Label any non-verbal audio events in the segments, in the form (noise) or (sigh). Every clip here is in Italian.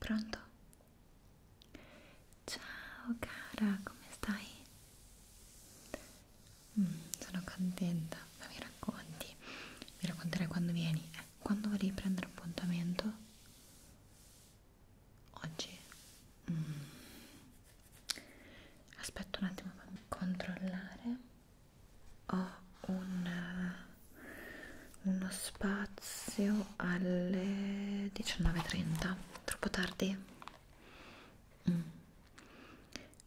Pronto? Ciao cara, come stai? Mm, sono contenta, ma mi racconti? Mi racconterai quando vieni? Eh, quando volevi prendere appuntamento? Oggi? Mm. Aspetta un attimo, fammi controllare. Ho un, uno spazio alle 19.30, troppo tardi? Mm.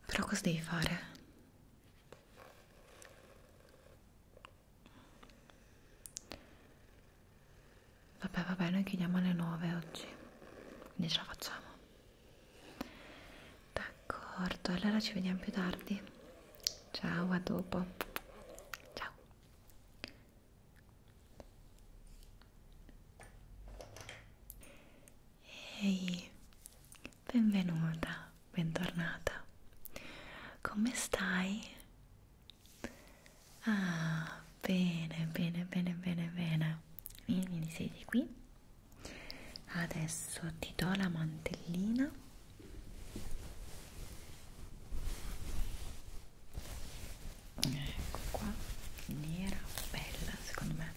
Però cosa devi fare? Vabbè, vabbè, noi chiudiamo alle 9 oggi, quindi ce la facciamo. D'accordo, allora ci vediamo più tardi. Ciao, a dopo. Ciao. Ehi, benvenuta, bentornata. Come stai? Ah, bene, bene, bene, bene, bene. Vieni, siedi qui. Adesso ti do la mantellina. Ecco qua, nera, bella secondo me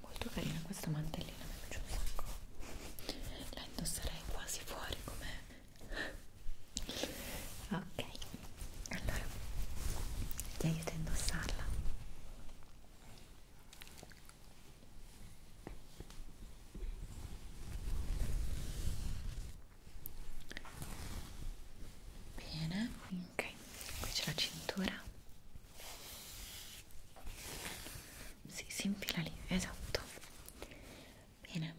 molto carina questa mantellina mi piace un sacco la indosserei quasi fuori com'è (laughs) ok allora ti aiuto a indossarla Bene, ok, qui c'è la cintura sì, si infila lì, esatto. Bene,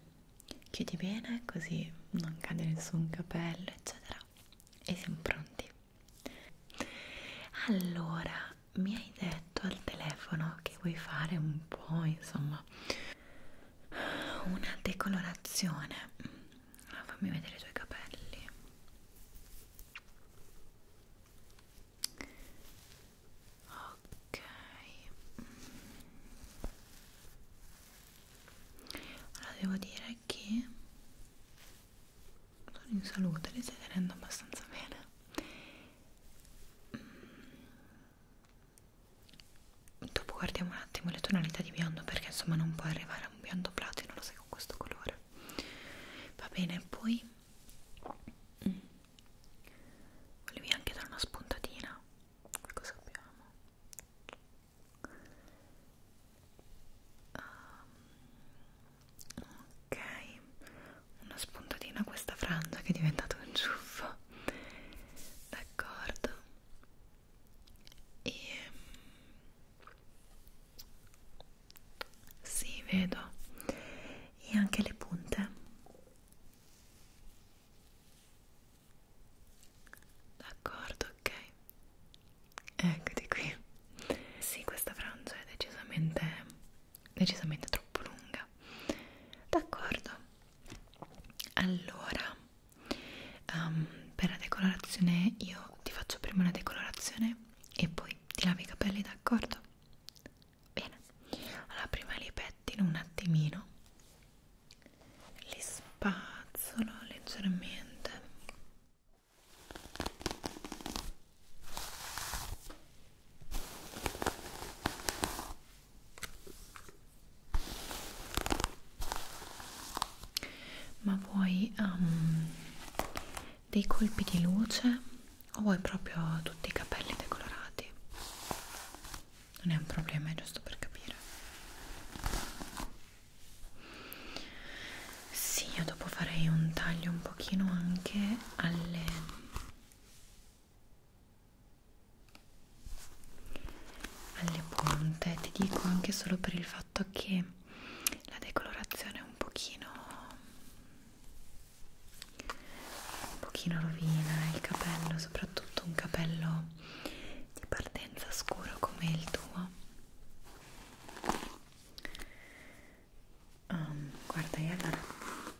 chiudi bene così non cade nessun capello, eccetera. E siamo pronti. Allora, mi hai detto al telefono che vuoi fare un po', insomma, una decolorazione. Fammi vedere i tuoi capelli ok allora mm. devo dire che sono in salute li stai tenendo abbastanza bene mm. dopo guardiamo un attimo le tonalità di biondo perché insomma non puoi arrivare a un biondo platino lo sai con questo colore va bene poi mm. volevi anche dare una spuntatina che cosa abbiamo um, ok una spuntatina a questa frangia che è diventata un ciuffo d'accordo e sì, vedo. E anche le punte. D'accordo, ok. Eccoti qui. Sì, questa frangia è decisamente, decisamente troppo lunga. D'accordo. Allora, um, per la decolorazione io ti faccio prima una decolorazione e poi ti lavi i capelli d'accordo? bene allora prima li pettino un attimino li spazzolo leggermente ma vuoi um, dei colpi di luce o vuoi proprio tutti i capelli decolorati? Non è un problema, è giusto per capire. Sì, io dopo farei un taglio un pochino anche alle alle punte, ti dico anche solo per il fatto che la decolorazione è un pochino un pochino rovina eh, il capello soprattutto un capello di partenza scuro come il tuo um, guarda io allora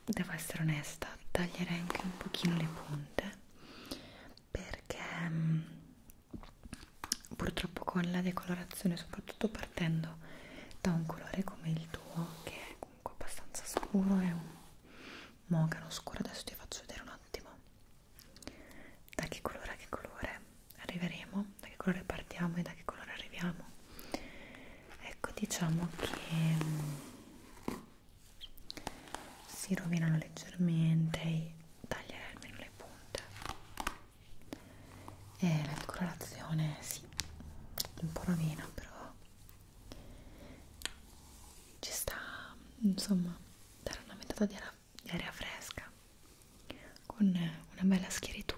devo essere onesta taglierei anche un pochino le punte perché um, purtroppo con la decolorazione soprattutto partendo da un colore come il tuo che è comunque abbastanza scuro è un mogano scuro adesso ti faccio vedere un attimo da che colore a che colore arriveremo da che colore partiamo e da che colore arriviamo ecco diciamo che mm, si rovinano leggermente e taglierei almeno le punte e la decorazione sì un po' rovina però ci sta insomma dare una metà di, di aria fresca con una bella schieritura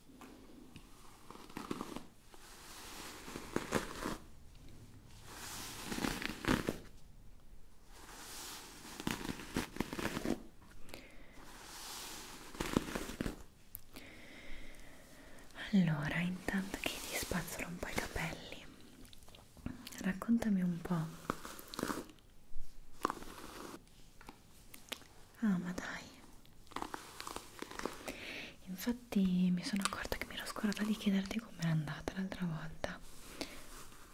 Allora, intanto che ti spazzolo un po' i capelli, raccontami un po' Ah, ma dai. Infatti mi sono accorta che mi ero scordata di chiederti com'era andata l'altra volta.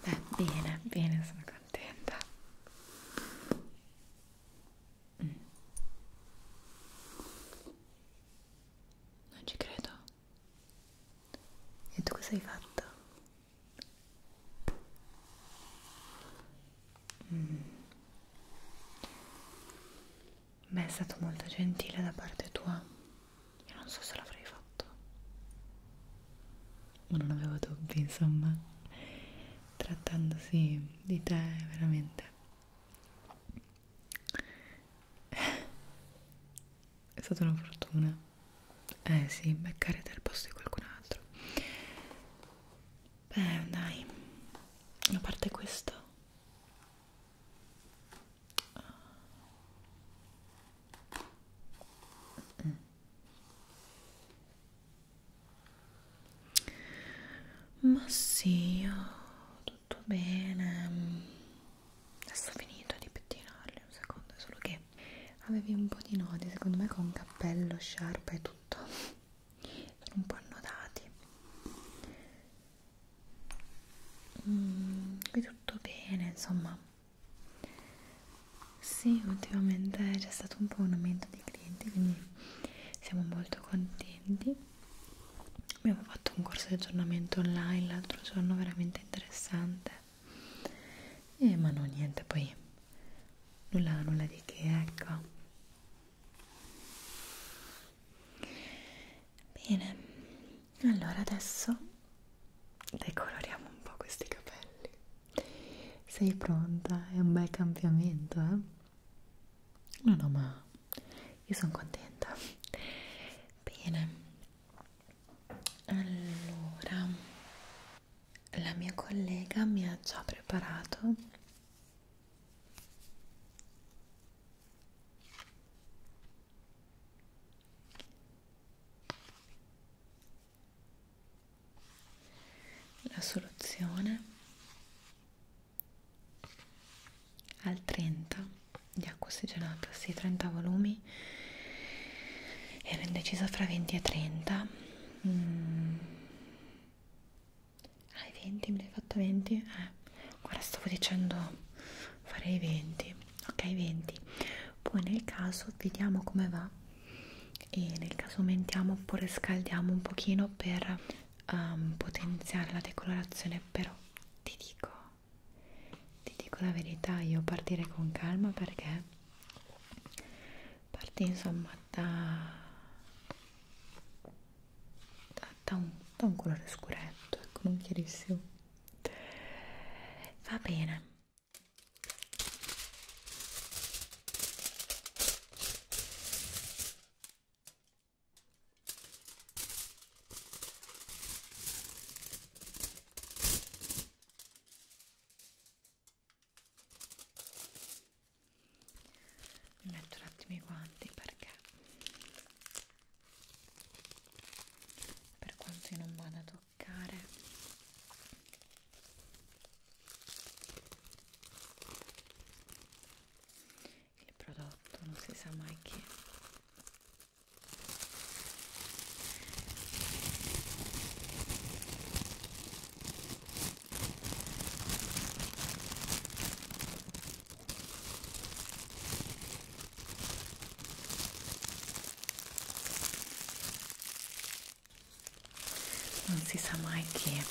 Beh, bene, bene, sono contenta. Mm. Non ci credo. E tu cosa hai fatto? Mm. Beh, è stato molto gentile da parte tua. Io non so se l'avrei fatto. Ma non avevo dubbi, insomma. Trattandosi di te, veramente. È stata una fortuna. Eh sì, beccare del posto di qualcun altro beh dai a parte questo ma sì, oh, tutto bene. Adesso ho finito di pettinarli un secondo, solo che avevi un po' di nodi, secondo me con cappello, sciarpa e tutto sono un po' annodati mm, qui tutto bene insomma sì ultimamente c'è stato un po' un aumento di clienti quindi siamo molto contenti abbiamo fatto un corso di aggiornamento online l'altro giorno veramente interessante eh, ma no niente poi nulla, nulla di che ecco Bene, allora adesso decoloriamo un po' questi capelli. Sei pronta? È un bel cambiamento, eh? No, no, ma io sono contenta. Bene. Allora, la mia collega mi ha già preparato la soluzione al 30 di acqua ossigenata, sì, 30 volumi, ero indecisa fra 20 e 30. Mm, Ah, i 20, me ne hai fatto 20? Eh, guarda, stavo dicendo farei 20. Ok, 20. Poi nel caso vediamo come va e nel caso aumentiamo oppure scaldiamo un pochino per um, potenziare la decolorazione, però ti dico, ti dico la verità, io partirei con calma perché parte insomma da, da, da, un, da un colore scuretto, ecco, non chiarissimo. Va bene mi metto un attimo i guanti perché per quanto io non vada a toccare il prodotto non si sa mai che non si sa mai che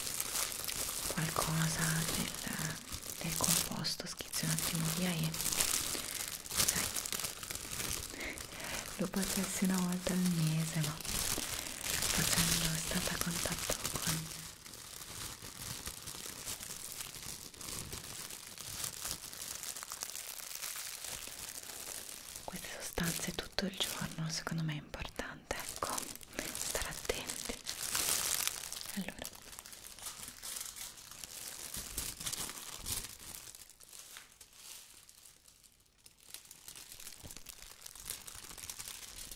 qualcosa del, del composto schizzi un attimo via e sai, lo facessi una volta al mese ma facendo stata a contatto con queste sostanze tutto il giorno secondo me è importante, ecco, stare attenti. Allora.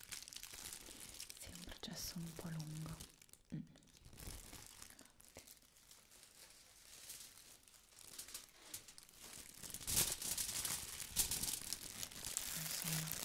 sì, è un processo un po' lungo mm. okay. Insomma.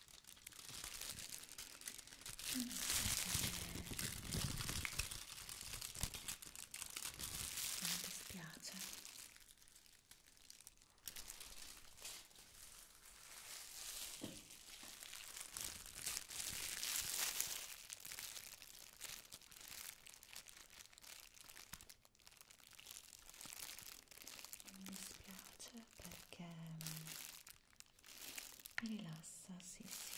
non dispiace non mi dispiace perché rilassa, sì, sì.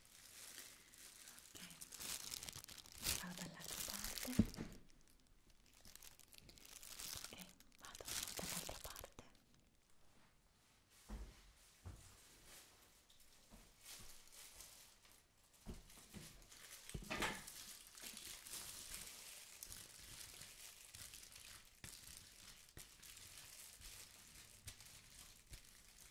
ok vado dall'altra parte e vado dall'altra parte ok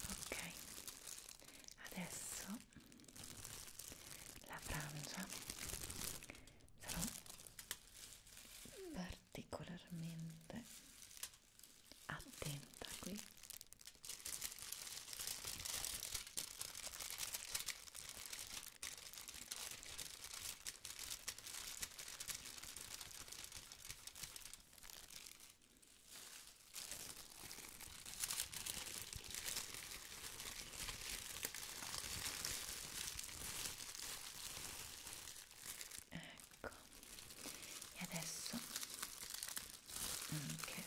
ok adesso la frangia sarà particolarmente attenta qui Ecco, e adesso anche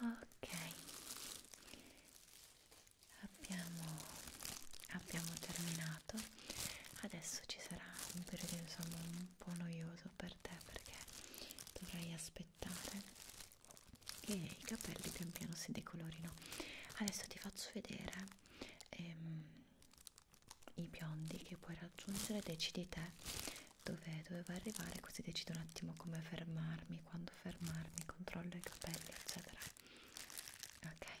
ok abbiamo, abbiamo terminato adesso ci sarà un periodo insomma un po' noioso per te perché dovrai aspettare aspettare che i capelli pian piano si decolorino adesso ti faccio vedere ehm, i biondi che puoi raggiungere decidi te dove doveva arrivare così decido un attimo come fermarmi quando fermarmi controllo i capelli eccetera ok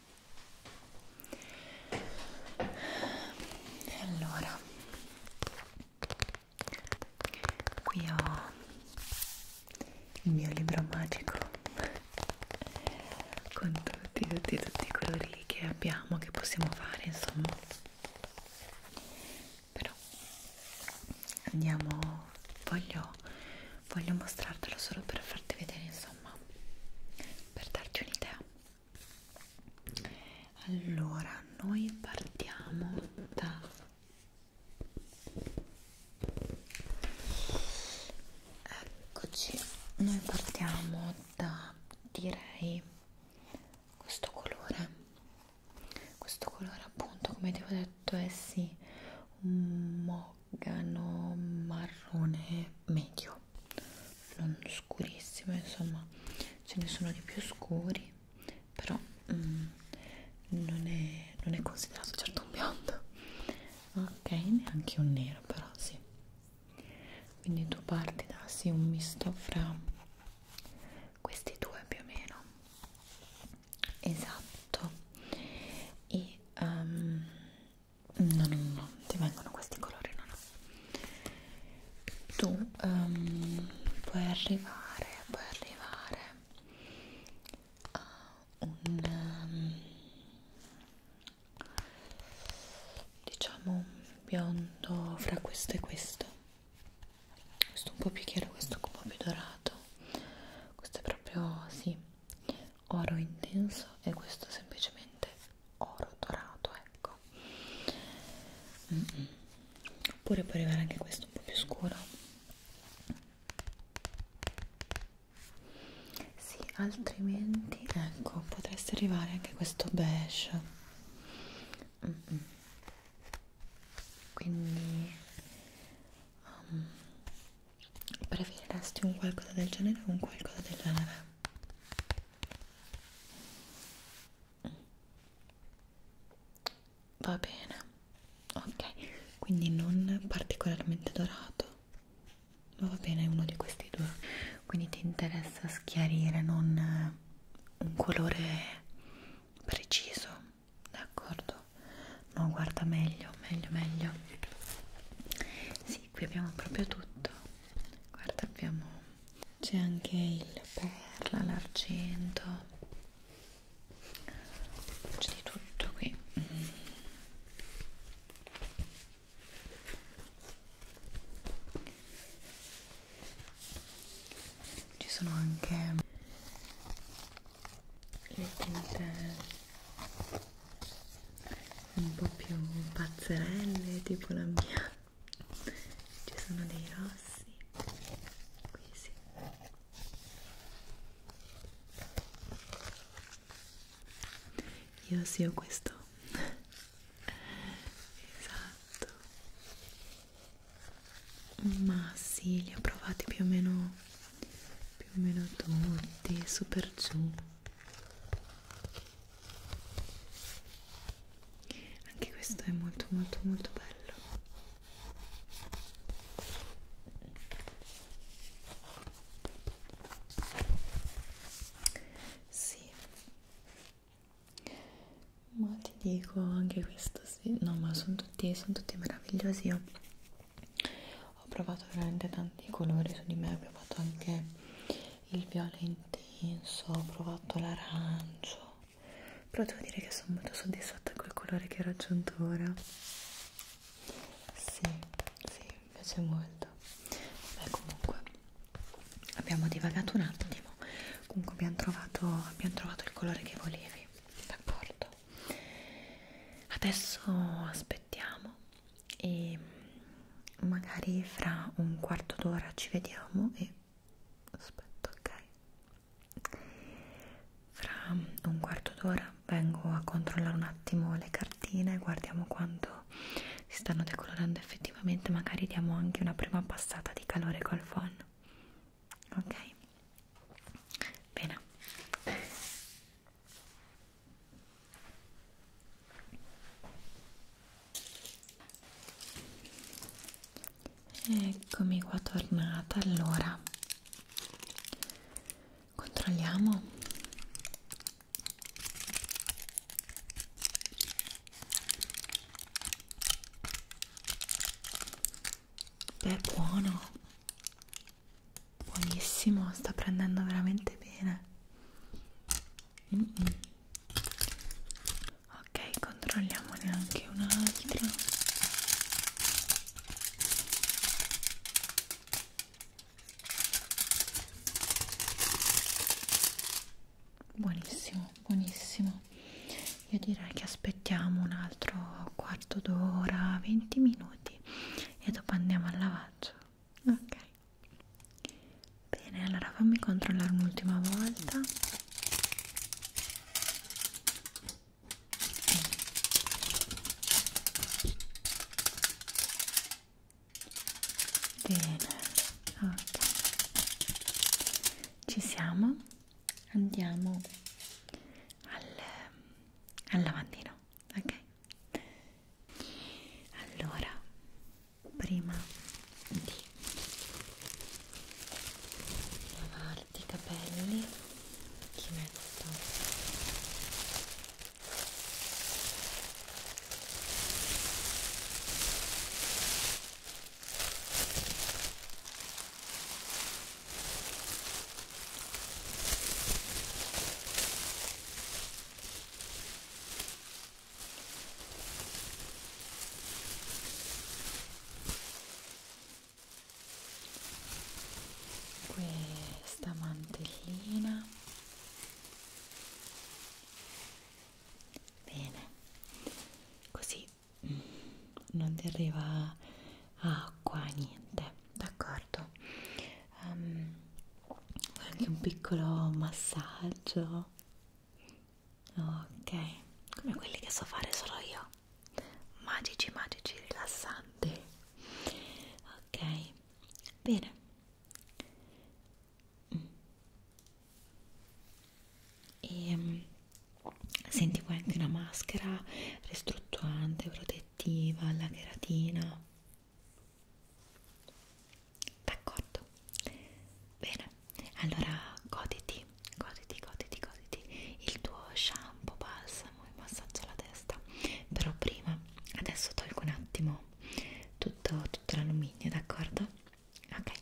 allora qui ho il mio libro magico con tutti tutti tutti i colori che abbiamo che possiamo fare insomma però andiamo voglio voglio mostrartelo solo per farti vedere insomma insomma per darti un'idea allora noi partiamo da eccoci noi partiamo da direi questo colore questo colore appunto come ti ho detto è sì un mauve organo marrone medio non scurissimo insomma ce ne sono di più scuri però mm, non, è, non è considerato certo un biondo ok neanche un nero però sì quindi tu parti da sì un misto fra questi due più o meno esatto e um, no no no ti vengono questi colori no no tu um, puoi arrivare puoi arrivare a un um, diciamo biondo fra questo e questo questo un po' più chiaro questo un po' più dorato questo è proprio sì oro intenso e questo semplicemente oro dorato ecco mm -mm. oppure può arrivare anche questo un po' più scuro sì altrimenti ecco potreste arrivare anche questo beige mm -mm. quindi um, preferiresti un qualcosa del genere o un qualcosa del genere? Va bene, ok, quindi non particolarmente dorato, ma va bene uno di questi due, quindi ti interessa schiarire, non eh, un colore preciso, d'accordo? No, guarda meglio, meglio, meglio sì qui abbiamo proprio tutto guarda abbiamo c'è anche il perla l'argento c'è di tutto qui mm. ci sono anche le tinte un po' più pazzerelle tipo la mia ci sono dei rossi qui sì io sì ho questo esatto ma sì li ho provati più o meno più o meno tutti super giù anche questo è molto molto molto bello sì ma ti dico anche questo sì no ma sono tutti, sono tutti meravigliosi io ho provato veramente tanti colori su di me ho provato anche il viola intenso ho provato l'arancio però devo dire che sono molto soddisfatta col colore che ho raggiunto ora sì, sì, mi piace molto beh comunque abbiamo divagato un attimo comunque abbiamo trovato, abbiamo trovato il colore che volevi d'accordo adesso aspettiamo e magari fra un quarto d'ora ci vediamo e aspetta ok fra un quarto d'ora vengo a controllare un attimo le cartine guardiamo quanto si stanno decolorando effettivamente magari diamo anche una prima passata di calore col phon ok bene Eccomi qua tornata, allora controlliamo beh buono buonissimo sta prendendo veramente bene mm -mm. ok controlliamone anche un'altra buonissimo buonissimo io direi che aspettiamo un altro quarto d'ora 20 minuti e dopo andiamo al lavaggio ok Bene, allora fammi controllare un'ultima volta. Bene, ok. Ci siamo. Andiamo al, al lavandino ok? Allora, prima di lavarti i capelli, ti metto questa mantellina bene così mm, non ti arriva acqua niente d'accordo um, anche un piccolo massaggio ok come quelli che so fare solo io magici magici rilassanti ok bene mm. e ehm, senti poi anche una maschera ristrutturante protettiva alla cheratina d'accordo? bene, allora goditi, goditi, goditi, goditi il tuo shampoo, balsamo e massaggio alla testa però prima, adesso tolgo un attimo tutto, tutto l'alluminio, d'accordo? ok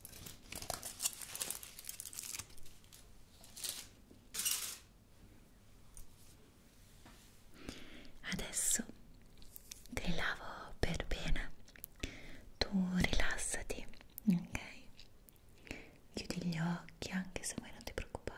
Adesso te li lavo per bene, tu rilassati, ok? Chiudi gli occhi anche se vuoi non ti preoccupare.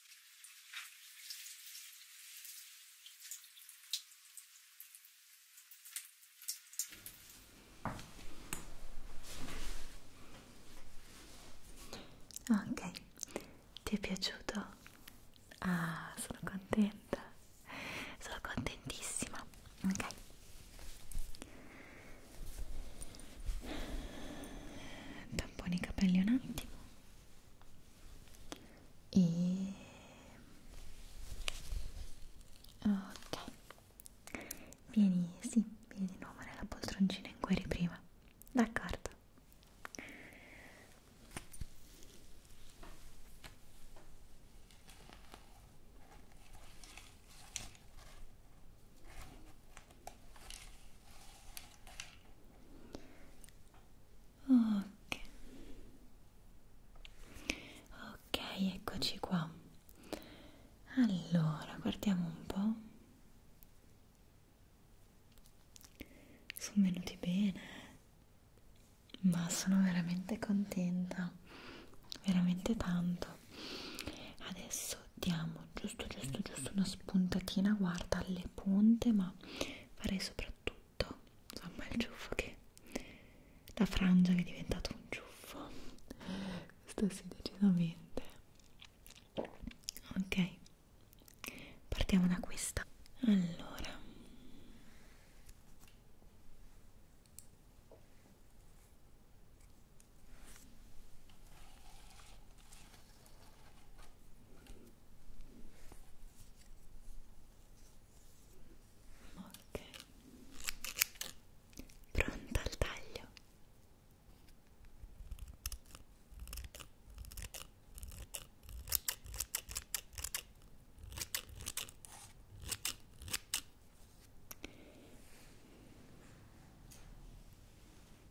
Ok, ti è piaciuto? Ah, sono contenta, sono contentissima. Ok. Tamponi i capelli un attimo e ok vieni sì vieni di nuovo nella poltroncina in cui eri prima d'accordo ok ok eccoci qua allora guardiamo un po' sono venuti bene ma sono veramente contenta veramente tanto adesso diamo giusto giusto giusto una spuntatina guarda alle punte ma ma farei soprattutto insomma il ciuffo che la frangia che è diventato un ciuffo questo sì decisamente ok partiamo da questa allora Ok, pronta al taglio.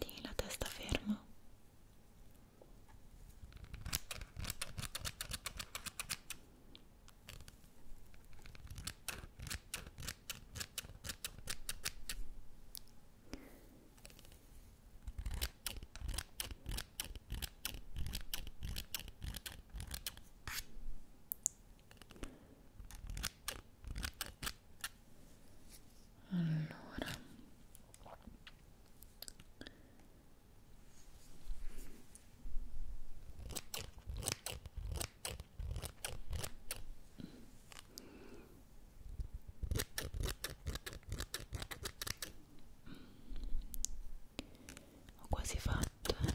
tieni la testa ferma allora ho quasi fatto eh.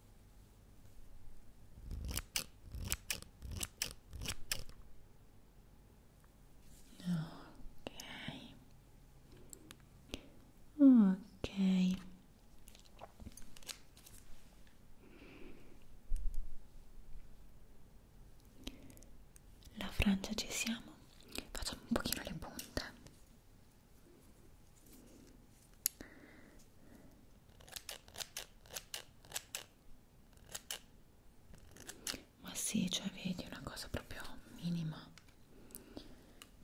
ok ok la Francia ci siamo facciamo un pochino le punte ma sì, cioè vedi una cosa proprio minima,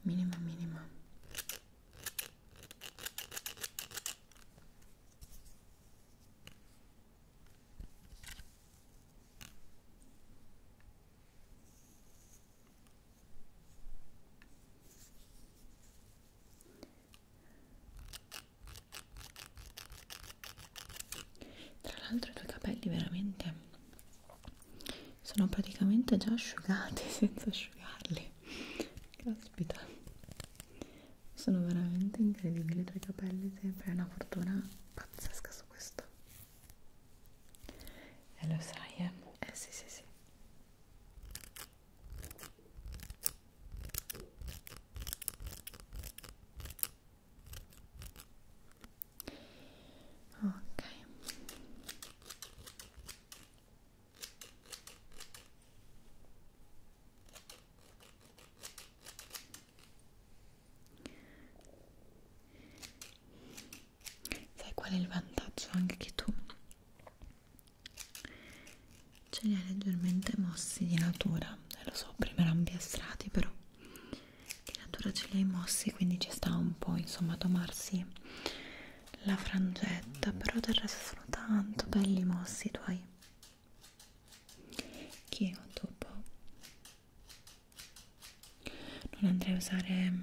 minima, minima tra l'altro i tuoi capelli veramente sono praticamente già asciugati (laughs) senza asciugarli caspita sono veramente incredibili i tuoi capelli sempre è una fortuna pazzesca su questo e eh, lo sai eh? eh sì sì sì Ok. Sai qual è il vantaggio anche che tu ce li ha leggermente mossi di natura eh, lo so prima erano piastrati però di natura ce li hai mossi quindi ci sta un po' insomma a tomarsi la frangetta però del resto sono tanto belli mossi i tuoi che io dopo non andrei a usare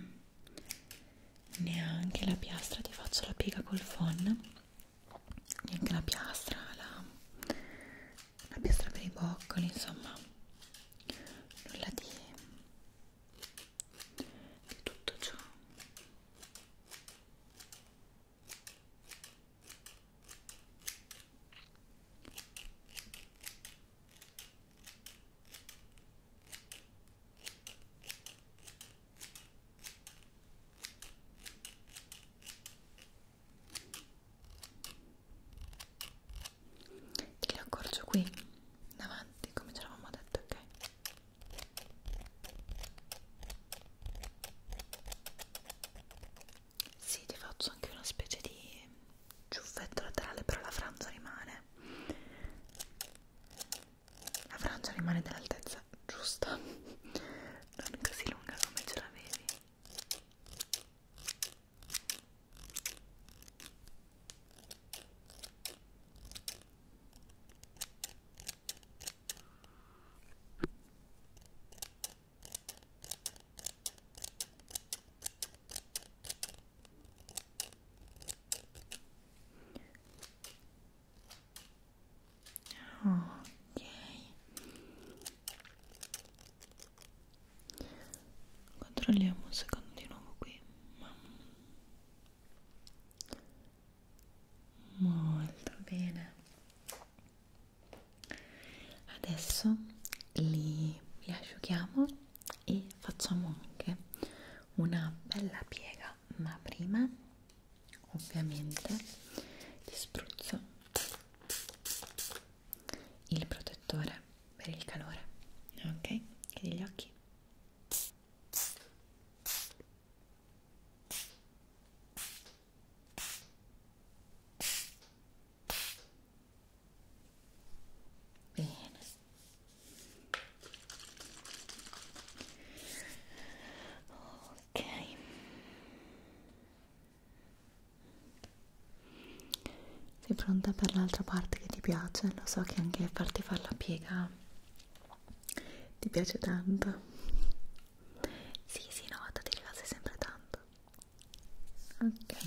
neanche la piastra ti faccio la piega col phon neanche la piastra la, la piastra per i boccoli insomma nulla di, di tutto ciò Te li accorcio qui, davanti, come ce l'avevamo detto, ok? Sì, ti faccio anche una specie di ciuffetto laterale, però la franza rimane la Francia rimane dell'altezza giusta, non così lunga come ce l'avevi ok controlliamo un secondo di nuovo qui molto bene adesso li, li asciughiamo e facciamo anche una bella piega allora ma prima ovviamente ti spruzzo il protettore per il calore ok chiudi gli occhi Bene ok sei pronta per l'altra parte che ti piace lo so che anche farti fare la piega ti piace tanto sì sì no vado ti rilassa sempre tanto ok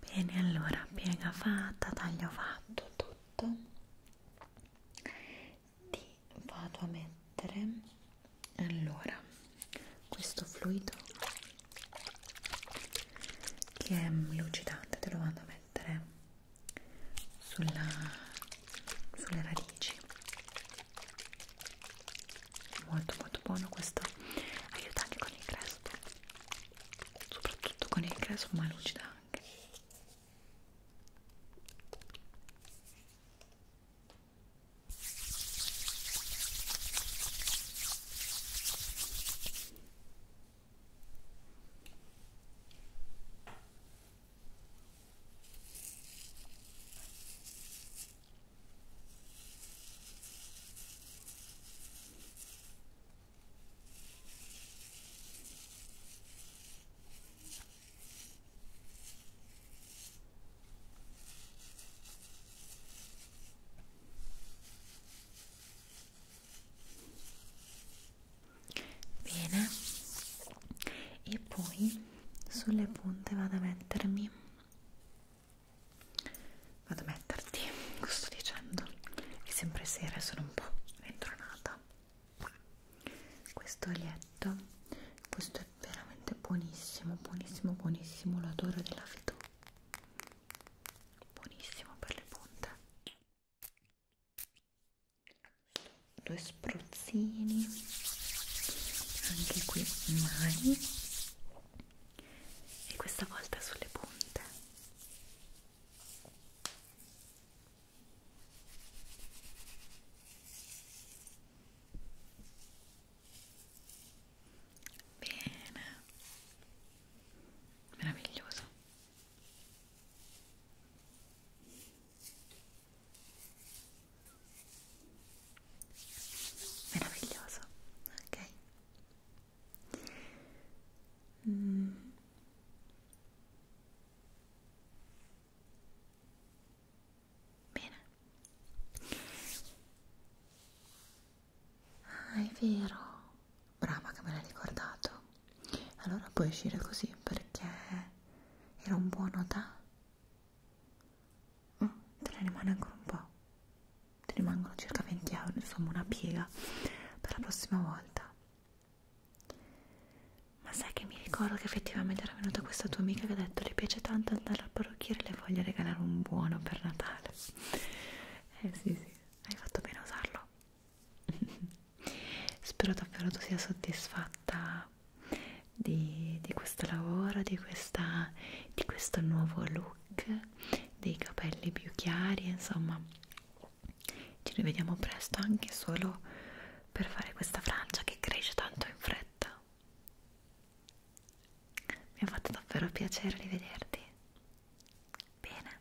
Bene, allora piega fatta, taglio fatto tutto. Ti vado a mettere allora questo fluido che è lucidante, te lo vado a mettere sulla, sulle radici. Molto molto buono questo, aiuta anche con il crespo soprattutto con il grasso ma lucida anche Bene, e poi sulle punte vado a mettermi vado a metterti cosa sto dicendo è sempre sera e sono un po' rintronata questo olietto questo è veramente buonissimo buonissimo buonissimo l'odore della fido buonissimo per le punte due spruzzini anche qui mani e questa volta sulle punte bene meraviglioso meraviglioso ok Mm. Bene. Ah, è vero. Brava che me l'hai ricordato. Allora puoi uscire così perché era un buono da... Mm, te ne rimane ancora un po' ti rimangono circa 20 euro, insomma una piega per la prossima volta. Ma sai che mi ricordo che effettivamente era venuta questa tua amica che ha detto le piace tanto andare al parrucchiere e le voglio regalare un buono per Natale. Eh sì sì, hai fatto bene a usarlo. (laughs) Spero davvero tu sia soddisfatta di, di questo lavoro, di, questa, di questo nuovo look dei capelli più chiari insomma ci rivediamo presto anche solo per fare questa frangia che cresce tanto in fretta mi ha fatto davvero piacere rivederti bene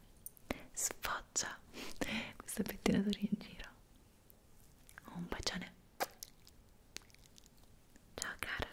sfoggia (laughs) questa pettinatura in giro un bacione ciao cara